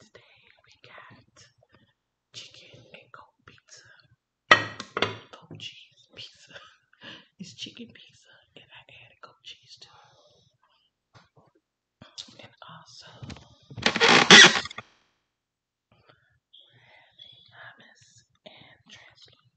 Today we got chicken and goat pizza. Goat cheese pizza. It's chicken pizza and I added goat cheese to it. And also we hummus and translucent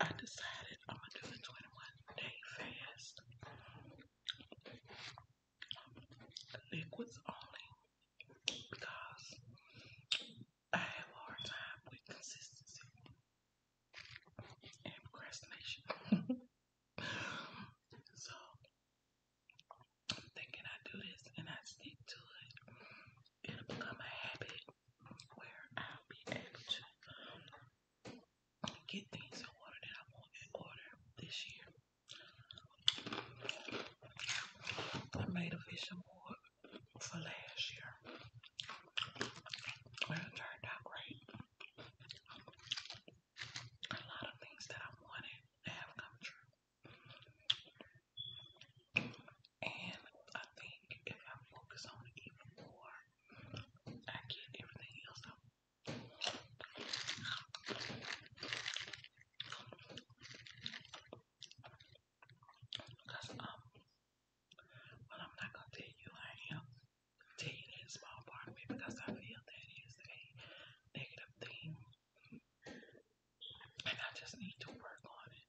I decided I'm gonna do a 21 day fast. Liquids only because I have a hard time with consistency and procrastination. so I'm thinking I do this and I stick to it it'll become a habit where I'll be able to get things in order that I want in order this year. I made a vision board for last year. it turned out great. A lot of things that I wanted have come true. And I think if I focus on it even more, I get everything else out. Because, um, well, I'm not going to tell you I am. Tell you that small part of me because I feel that is a negative thing. And I just need to work on it.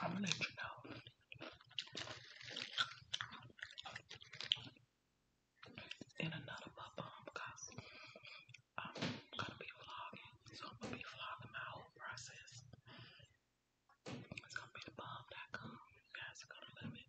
I'm gonna let you know. In another bomb because I'm gonna be vlogging, so I'm gonna be vlogging my whole process. It's gonna be the guys are to love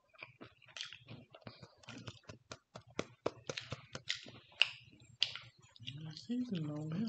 seasoning on here.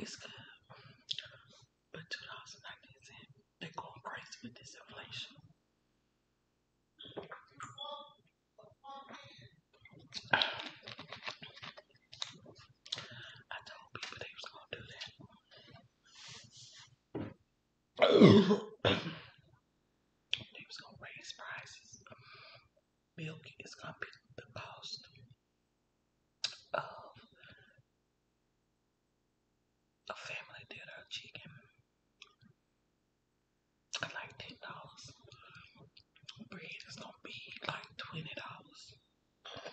It's good. But 2019 is in. They're going crazy with this inflation. I told people they was gonna do that they was gonna raise prices. Milk is gonna be the cost of a family dinner chicken. Like ten dollars. Bread is gonna be like twenty dollars.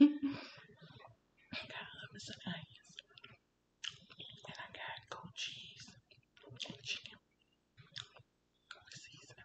got hummus and onions. And I got goat cheese and chicken. Season.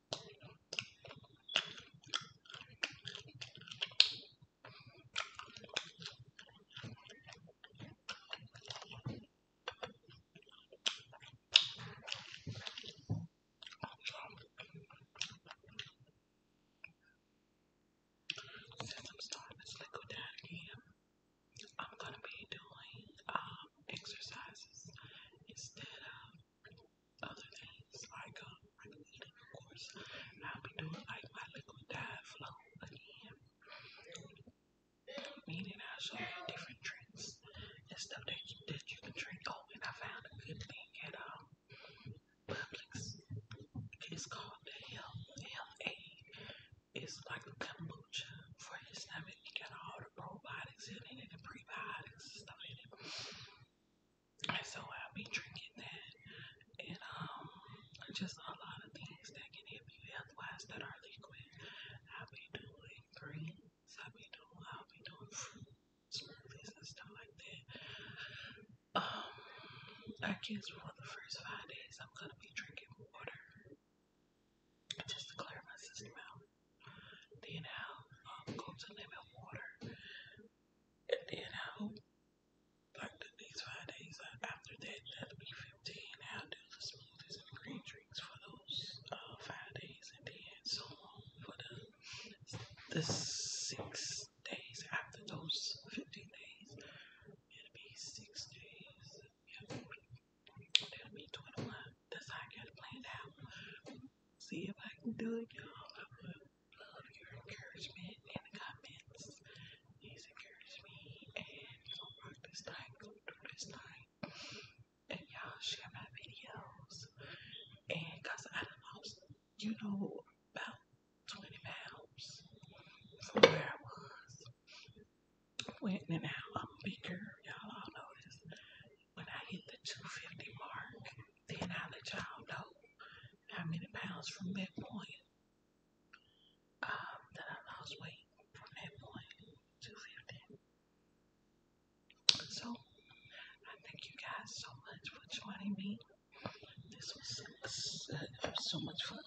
Since I'm starting this liquid down again, I'm gonna be doing um exercises instead of other things like um, I can eat it, of course. I'll be doing like my liquid diet flow again. Meaning I'll show you different tricks and stuff that you, that you can drink. Oh, and I found a good thing at um, Publix. It's called the LMA. It's like a kombucha for your stomach. You got all the probiotics in it and the prebiotics and stuff in it so I'll be drinking that. And um, just a lot of things that can help you health wise that are liquid. I'll be doing green, I'll be doing, I'll be doing fruit smoothies and stuff like that. Um, I guess for the first five days, I'm gonna be drinking water just to clear my system out. Then I'll um, go to lemon water. And then I'll, like the next five days uh, after that, that'll be 15. I'll do the smoothies and the green drinks for those uh, five days. And then so on for the, the six days after those 15 days. It'll be six days. Yeah. That'll be 21. That's I got to play out. See if I can do it, y'all. I would love your encouragement in the comments. Please encourage me and don't rock this night, go through this night. And y'all share my videos. And because I lost, you know, about 20 pounds from where I was. Went and out, I'm bigger, y'all all know this when I hit the 250 mark, then I'll let y'all know how many pounds from that point um, that I lost weight from that point, 250. So, thank you guys so much for joining me. This was so much fun.